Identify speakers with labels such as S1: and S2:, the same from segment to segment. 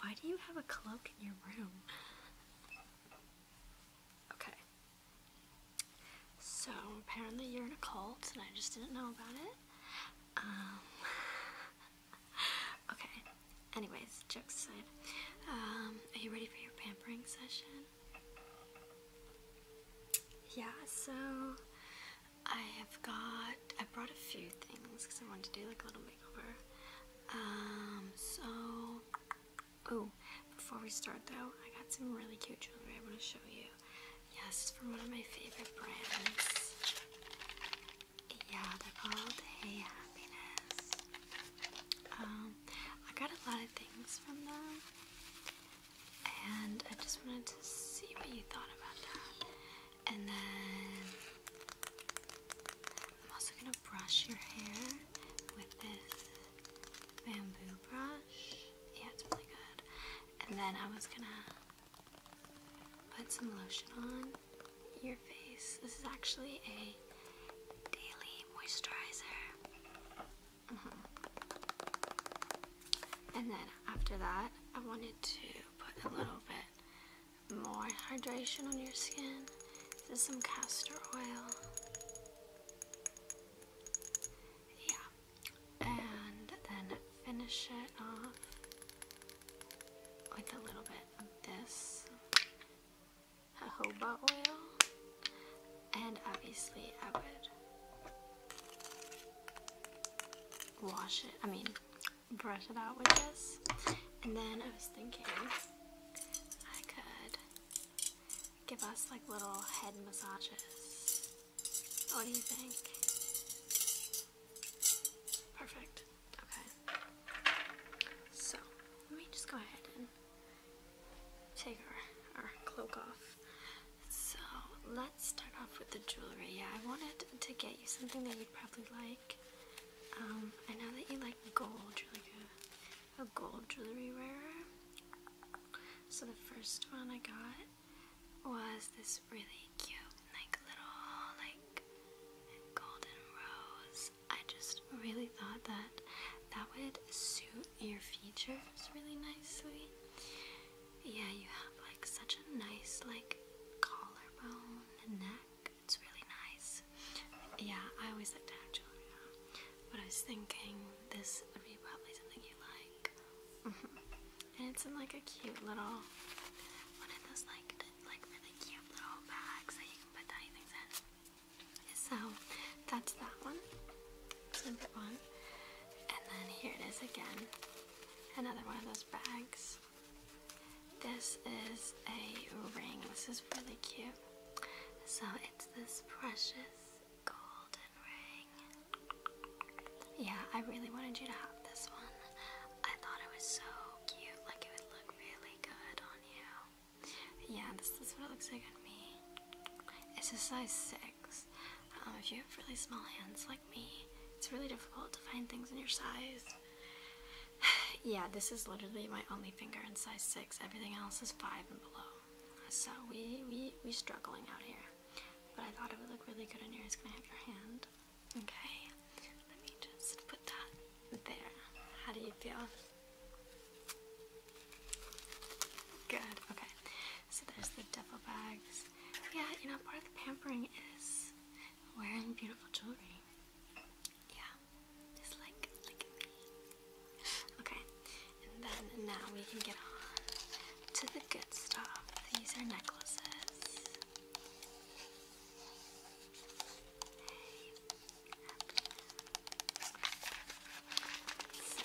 S1: Why do you have a cloak in your room? Okay. So apparently you're in a cult and I just didn't know about it. Um, okay. Anyways, jokes aside. Um, are you ready for your pampering session? Yeah, so I have got I brought a few things because I wanted to do like a little um, so, oh, before we start though, I got some really cute jewelry I want to show you. Yes, from one of my favorite brands. Yeah, they're called Hey Happiness. Um, I got a lot of things from them, and I just wanted to see what you thought about that and then I'm also gonna brush your hair with this bamboo brush. Yeah, it's really good. And then I was gonna put some lotion on your face. This is actually a daily moisturizer. Mm-hmm. And then after that, I wanted to put a little bit more hydration on your skin. This is some castor oil. Yeah. And then finish it off with a little bit of this jojoba oil. And obviously I would wash it. I mean, brush it out with this. And then I was thinking I could give us like little head massages. What do you think? Perfect. Okay. So let me just go ahead and take our, our cloak off. So let's start off with the jewelry. Yeah, I wanted to get you something that you'd probably like. Um, I know that you like gold. You're like a gold jewelry wearer. So the first one I got was this really cute, like little, like golden rose. I just really thought that that would suit your features really nicely. Yeah, you have like such a nice, like collarbone neck. It's really nice. Yeah, I always like to have jewelry But I was thinking this would be probably something you like. and it's in like a cute little one of those like like really cute little bags that you can put things in. So that's that one. number one. And then here it is again. Another one of those bags. This is a ring. This is really cute. So it's this precious golden ring. Yeah, I really wanted you to have this one. I thought it was so cute. Like it would look really good on you. Yeah, this is what it looks like on me. It's a size 6. Um, if you have really small hands like it's really difficult to find things in your size. yeah, this is literally my only finger in size six. Everything else is five and below. So we we we struggling out here. But I thought it would look really good in yours. Can I have your hand? Okay. Let me just put that there. How do you feel? Good. Okay. So there's the duffel bags. Yeah, you know, part of the pampering is wearing beautiful jewelry. Yeah, just like look at me. Okay, and then now we can get on to the good stuff. These are necklaces. So,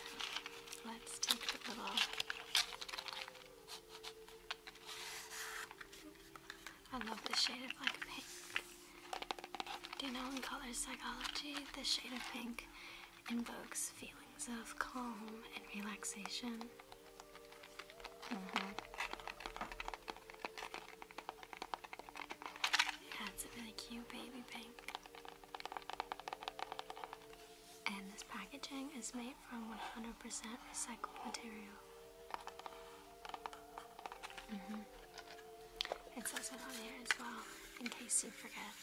S1: let's take the little I love the shade of like pink. Do you know in color psychology, the shade of pink invokes feelings of calm and relaxation? Mm a really cute baby pink. And this packaging is made from 100% recycled material. Mm -hmm. It says it on here as well, in case you forget.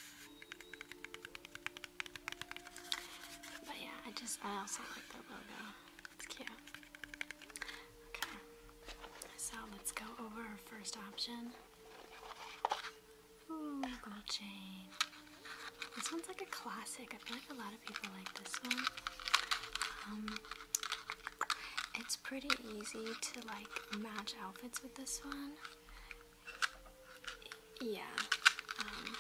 S1: But yeah, I just, I also like the logo. It's cute. Okay, so let's go over our first option. Ooh, gold chain. This one's like a classic. I feel like a lot of people like this one. Um, it's pretty easy to like match outfits with this one. Yeah. Um,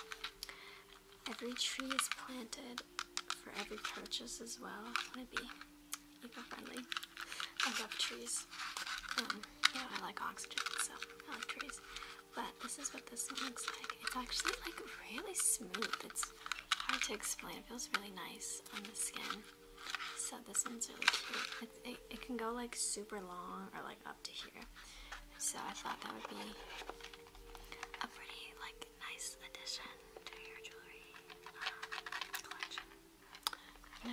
S1: every tree is planted for every purchase as well. I want to be eco-friendly. I love trees. Um, I like oxygen, so I like trees. But this is what this one looks like. It's actually like really smooth. It's hard to explain. It feels really nice on the skin. So this one's really cute. It, can go like super long or like up to here. So I thought that would be a pretty like nice addition to your jewelry um, collection. You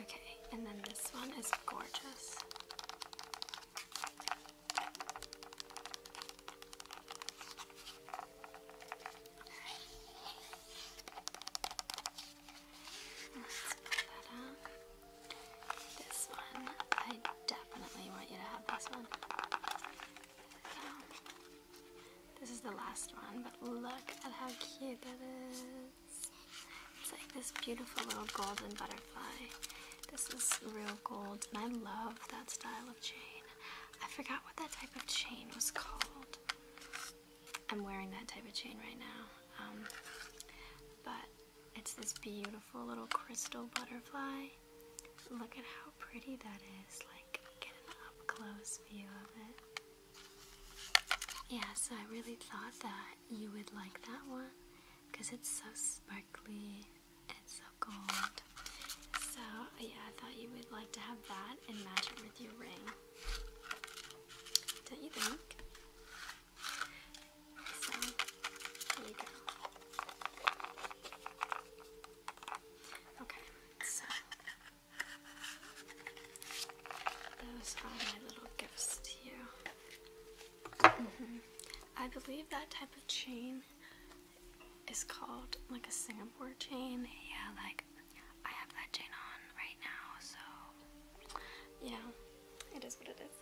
S1: Okay, and then this one is gorgeous. This one, I definitely want you to have this one. This is the last one, but look at how cute that is. It's like this beautiful little golden butterfly. This is real gold, and I love that style of chain. I forgot what that type of chain was called. I'm wearing that type of chain right now. Um, but it's this beautiful little crystal butterfly. Look at how pretty that is. Like, close view of it. Yeah, so I really thought that you would like that one because it's so sparkly and so gold. So yeah, I thought you would like to have that and match it with your ring. Don't you think? Okay. So, those are my little gifts to you. I believe that type of chain is called like a Singapore chain. Yeah, like I have that chain on right now, so yeah, it is what it is.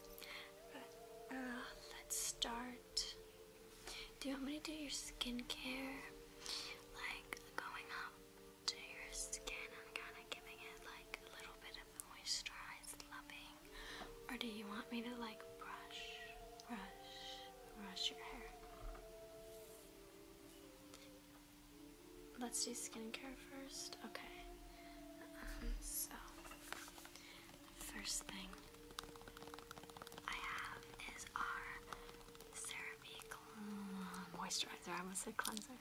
S1: But uh, let's start do you want me to do your skincare? Like going up to your skin and kind of giving it like a little bit of moisturized Or do you want me to like brush, brush, brush your hair? Let's do skincare first. Okay. Um, so, first thing I have is our CeraVe moisturizer. I almost said cleanser.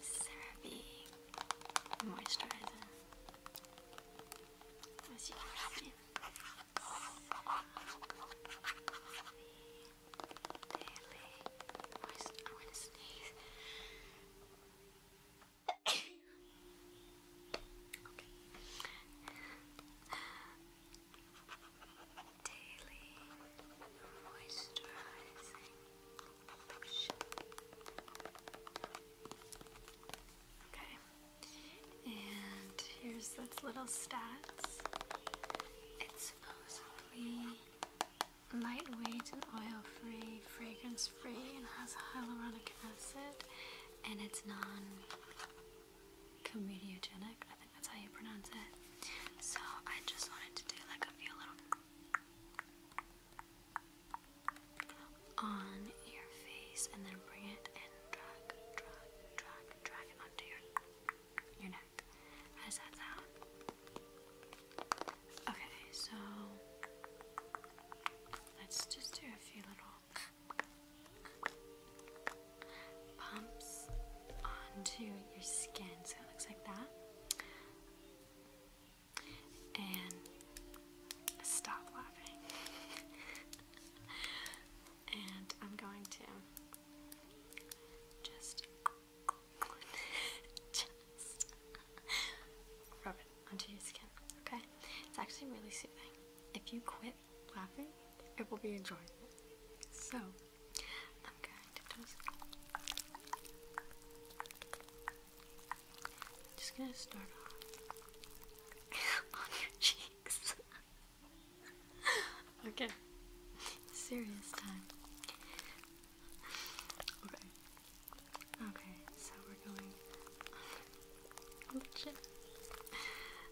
S1: CeraVe moisturizer. daily moist. I'm gonna sneeze. okay. Okay, and here's its little stats. It's supposedly lightweight and oil-free, fragrance-free, and has hyaluronic acid, and it's non comediogenic. I think that's how you pronounce it. So I just wanted to do like a few little on your face and then bring it and drag, drag, drag, drag it onto your your neck. How does that Okay, so let's just do a few little pumps onto your skin. So it looks like that. And stop laughing. and I'm going to just just rub it onto your skin. Okay? It's actually really soothing. If you quit laughing, it will be enjoyable. So, I'm going to just. I'm just gonna start off on your cheeks. okay, serious time. Okay. Okay, so we're going on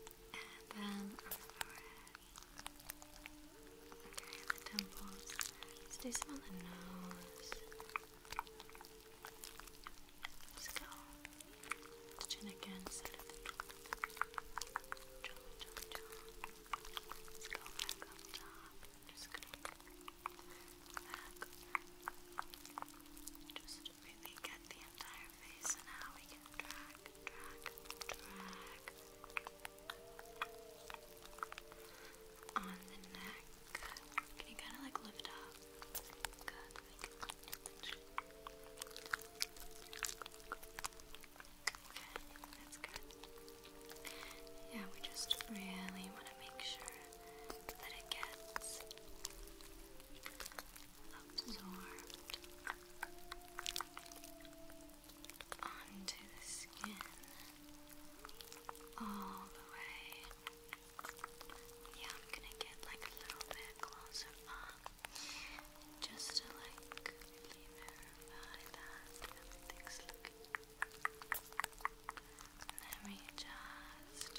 S1: and then on the forehead. Okay, the temples. Let's do some on the nose. Let's go. Chin again, Let's go Just to back. Just really get the entire face and now we can drag drag on the neck. Can you kind of like lift up? Yeah, we just really want to make sure that it gets absorbed onto the skin all the way. Yeah, I'm gonna get like a little bit closer just to like really verify that everything's Let me just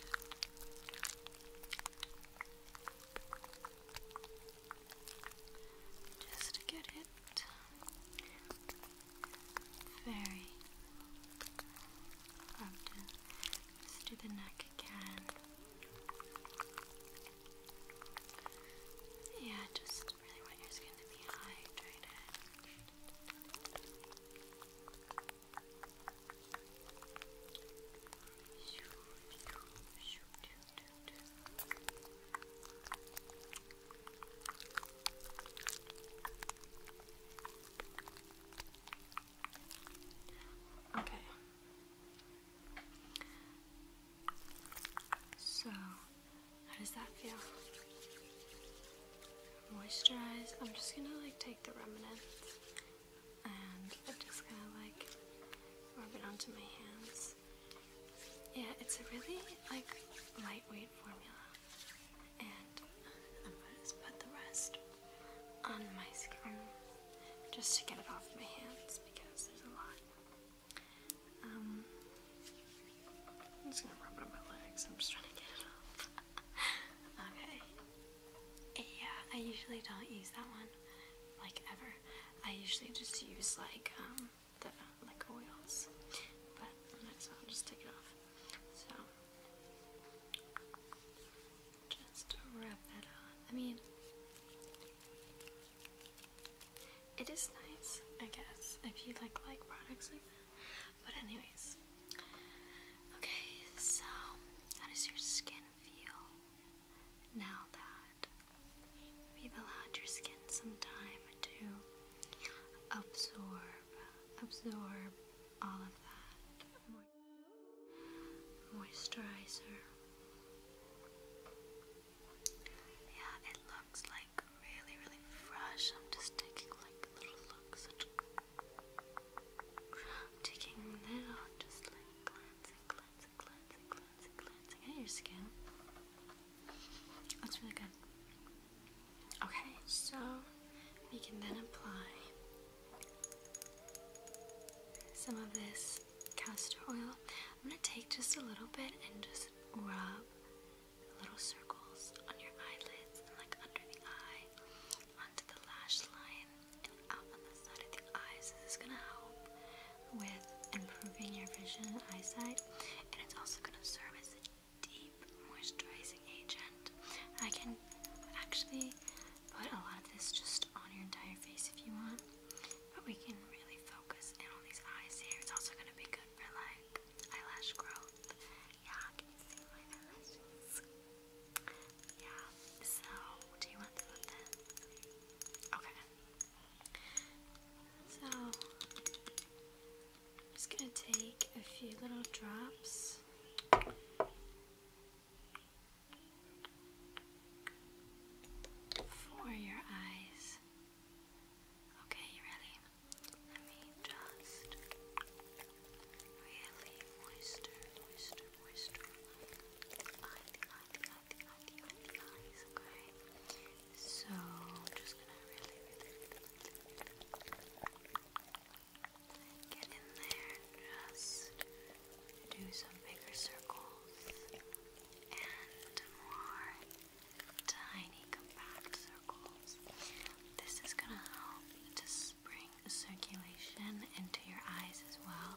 S1: just to get it very rubbed in. Let's do the neck again. Yeah, just really want your skin to be hydrated. Okay. So, how does that feel? Moisturize. I'm just gonna like take the remnants and I'm just gonna like rub it onto my hands. Yeah, it's a really like lightweight formula, and I'm gonna just put the rest on my skin just to get it off my hands because there's a lot. Um, I'm just gonna rub it on my legs. I'm just trying to get it off. okay, yeah, I usually don't use that one, like ever. I usually just use like um the like oils, but might as well just take it off. So just rub that on. I mean, it is nice, I guess, if you like like products like that. But anyways, okay. So how does your skin feel? Now that we've allowed your skin some time to absorb, absorb all of that moisturizer. Yeah, it looks like really, really fresh. I'm just taking like little looks. taking little, just like glancing, glancing cleansing, cleansing, cleansing, cleansing your skin. That's really good. Okay, so we can then apply some of this castor oil. I'm gonna take just a little bit and just rub little circles on your eyelids and like under the eye onto the lash line and out on the side of the eyes. This is gonna help with improving your vision and eyesight, and it's also gonna serve as a deep moisturizing agent. I can actually put a lot of this just on your entire face if you want, but we can really focus in on these eyes here. It's also gonna be good for like eyelash growth. Yeah, I can see my eyelashes. Yeah, so do you want to Okay. So I'm just gonna take a few little drops. For your eyes. Okay, you ready? Let me just really moisture, moisture on the, on the, on the, eyes, okay? So, I'm just gonna really, really get in there and just do some bigger circles and more tiny compact circles. This is gonna help to helps bring circulation into your eyes as well.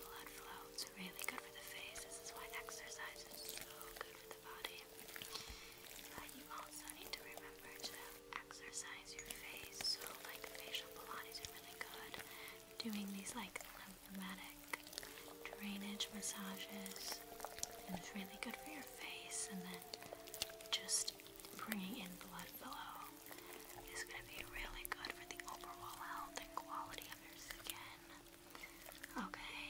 S1: Blood flow, it's really good for the face. This is why exercise is so good for the body. But you also need to remember to exercise your face. So, like facial Pilates are really good. Doing these like lymphatic drainage massages, and it's really good for your face. And then just bringing in blood flow is going to be really good for the overall health and quality of your skin. Okay.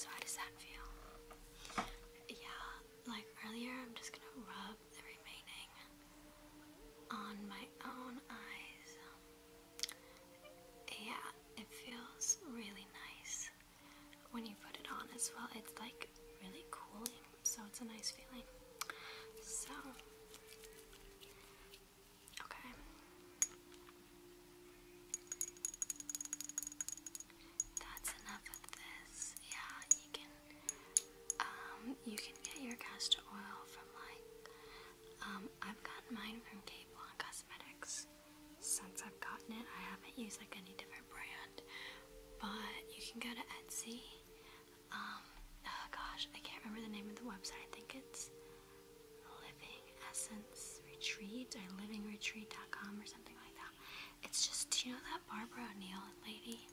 S1: how does that feel? Yeah, like earlier, I'm just going to rub the remaining on my own eyes. Yeah, it feels really nice when you put it on as well. It's like really cooling so it's a nice feeling. So, okay. That's enough of this. Yeah, you can um you can get your castor oil from like um I've gotten mine from Cape Cosmetics. Since I've gotten it, I haven't used like any different brand. But you can go to Etsy. Um, oh gosh, I can't remember the name of the website. I think it's Living Essence Retreat or livingretreat.com or something like that. It's just, do you know that Barbara O'Neill lady?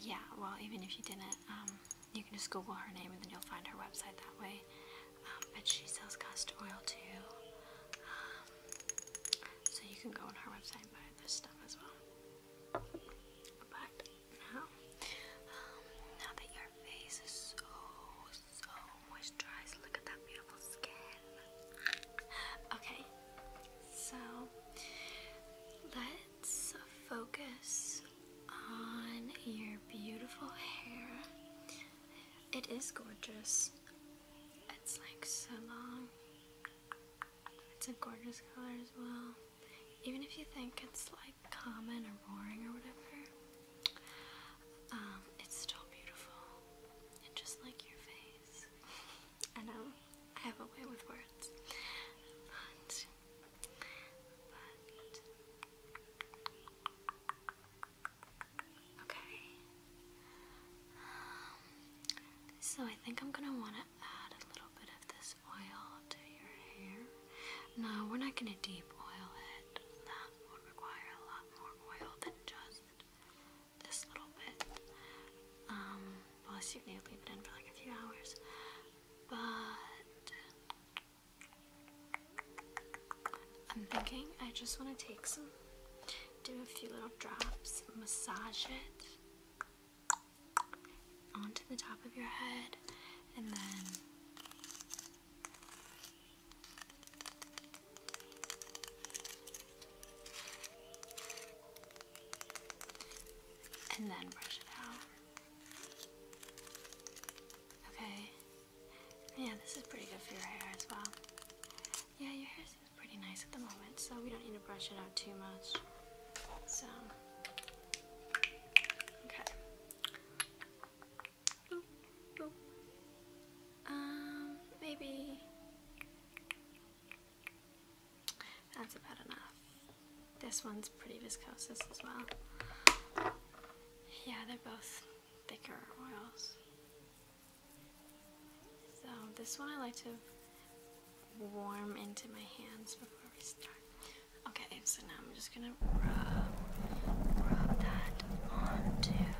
S1: Yeah, well, even if you didn't, um, you can just Google her name and then you'll find her website that way. Um, but she sells castor oil too. Um, so you can go on her website and buy this stuff as well. But now, um, now that your face is so, so moisturized, look at that beautiful skin. Okay, so let's focus on your beautiful hair. It is gorgeous. It's like so long. It's a gorgeous color as well. Even if you think it's like common or boring or whatever, um, it's still beautiful. And just like your face. I know, I have a way with words. But, but. Okay. Um, so I think I'm gonna want it add a little bit of this oil to your hair. No, we're not going to deep oil it. That would require a lot more oil than just this little bit. Um, plus you leave it in for like a few hours. But I'm thinking I just want to take some, do a few little drops, massage it onto the top of your head and then and then brush it out. Okay. Yeah, this is pretty good for your hair as well. Yeah, your hair's pretty nice at the moment, so we don't need to brush it out too much. So, okay. Um, maybe that's about enough. This one's pretty viscous as well. Yeah, they're both thicker oils. So this one I like to warm into my hands before we start. Okay, so now I'm just gonna rub, that onto your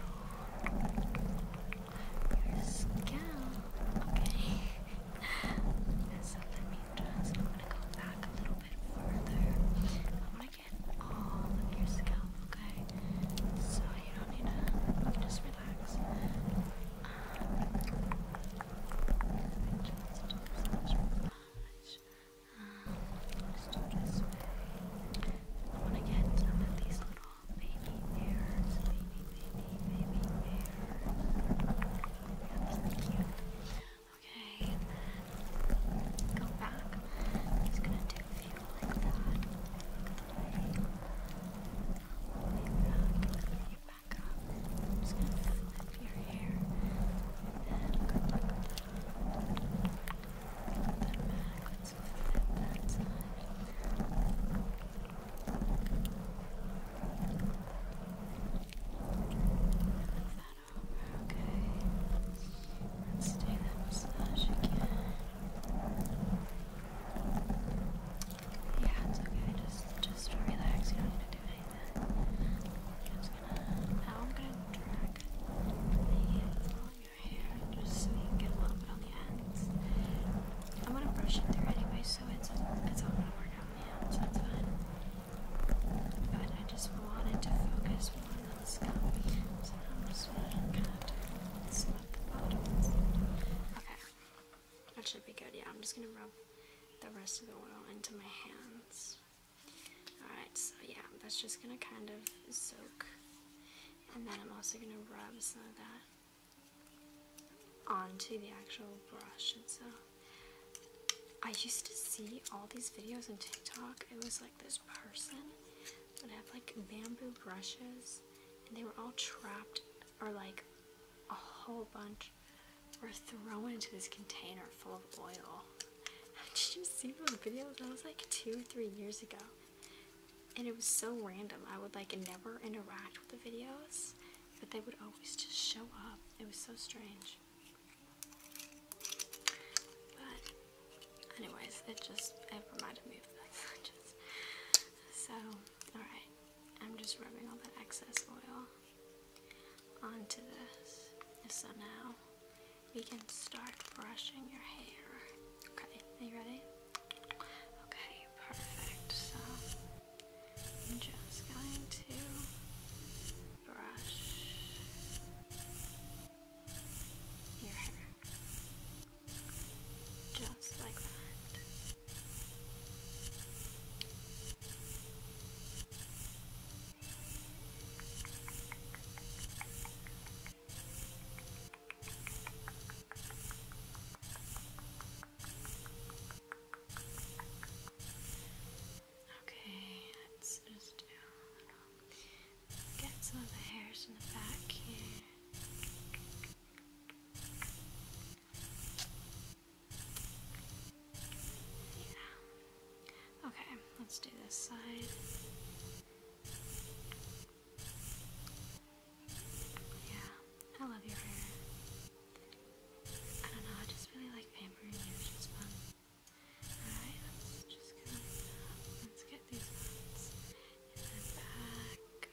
S1: scalp. Okay. so let me just, I'm gonna go back a little bit further. I wanna get all of your scalp, okay? So you don't need to, just relax want to get some of these little baby hairs, Okay, go back. just gonna do a few like that. Like that. back, back up. I'm just gonna flip your hair and go back up. Flip that back. Let's flip it that side. Flip that over, okay. Let's do that massage again. Yeah, it's okay. Just, just relax. You don't need to do anything. I'm just gonna. Now I'm gonna drag the on your hair just get a little bit on the ends. I'm gonna brush it through anyway, so it's it's all gonna work out in So that's fine. But I just wanted to focus on the scalp, so I'm just gonna kind of sweat the bottoms. Okay. That should be good. Yeah, I'm just gonna rub the rest of the oil into my hands. Alright, so yeah, that's just gonna kind of soak. And then I'm also gonna rub some of that onto the actual brush. itself. I used to see all these videos on TikTok. It was like this person would have like bamboo brushes and they were all trapped or like a whole bunch were thrown into this container full of oil. I just see those videos? I was like two, three years ago. And it was so random. I would like never interact with the videos, but they would always just show up. It was so strange. But anyways, it just it reminded me of that. so alright. I'm just rubbing all that excess oil onto this. So now we can start brushing your hair. Okay, are you ready? Okay, perfect. So I'm just going to brush your hair. Just like that. Okay, let's just Get some of the hairs in the back here. Yeah. Okay, let's do this side. Yeah, I love your hair. I don't know, I just really like pampering you, which is fun. Alright, let's just go. Let's get these ones in the back.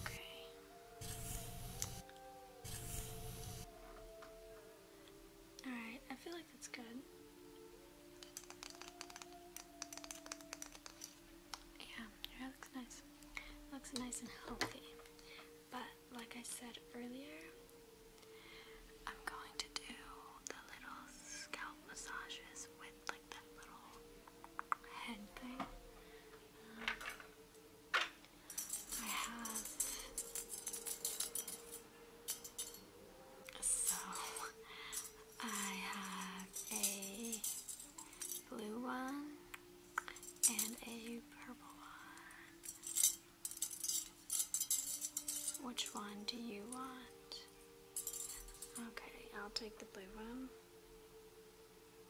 S1: Okay. Alright, I feel like that's good. Yeah, your hair looks nice. looks nice and healthy. But like I said earlier, I'm going to do the little scalp massages with like that little head thing. I have so I have a blue one and a purple one. Which one do you want? Okay, I'll take the blue one.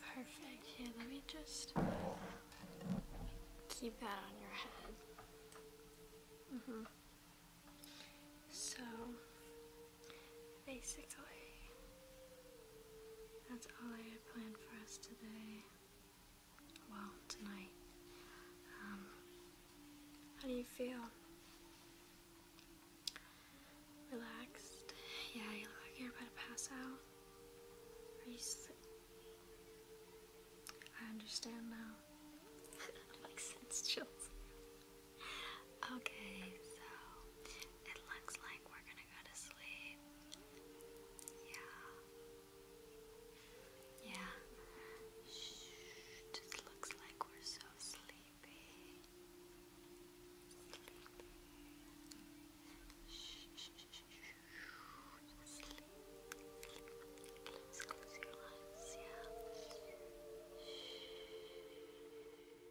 S1: Perfect. Here, let me just keep that on your head. Mm -hmm. So Basically, that's all I had planned for us today. Well, tonight. Um, how do you feel? Relaxed? Yeah, you look like you're about to pass out. Are you I understand now. Makes sense chills. Okay, so it looks like we're gonna go to sleep. Yeah. Yeah. Shh. It looks like we're so sleepy. Sleepy. Shh. Sleep. let close your eyes. Yeah. Shh.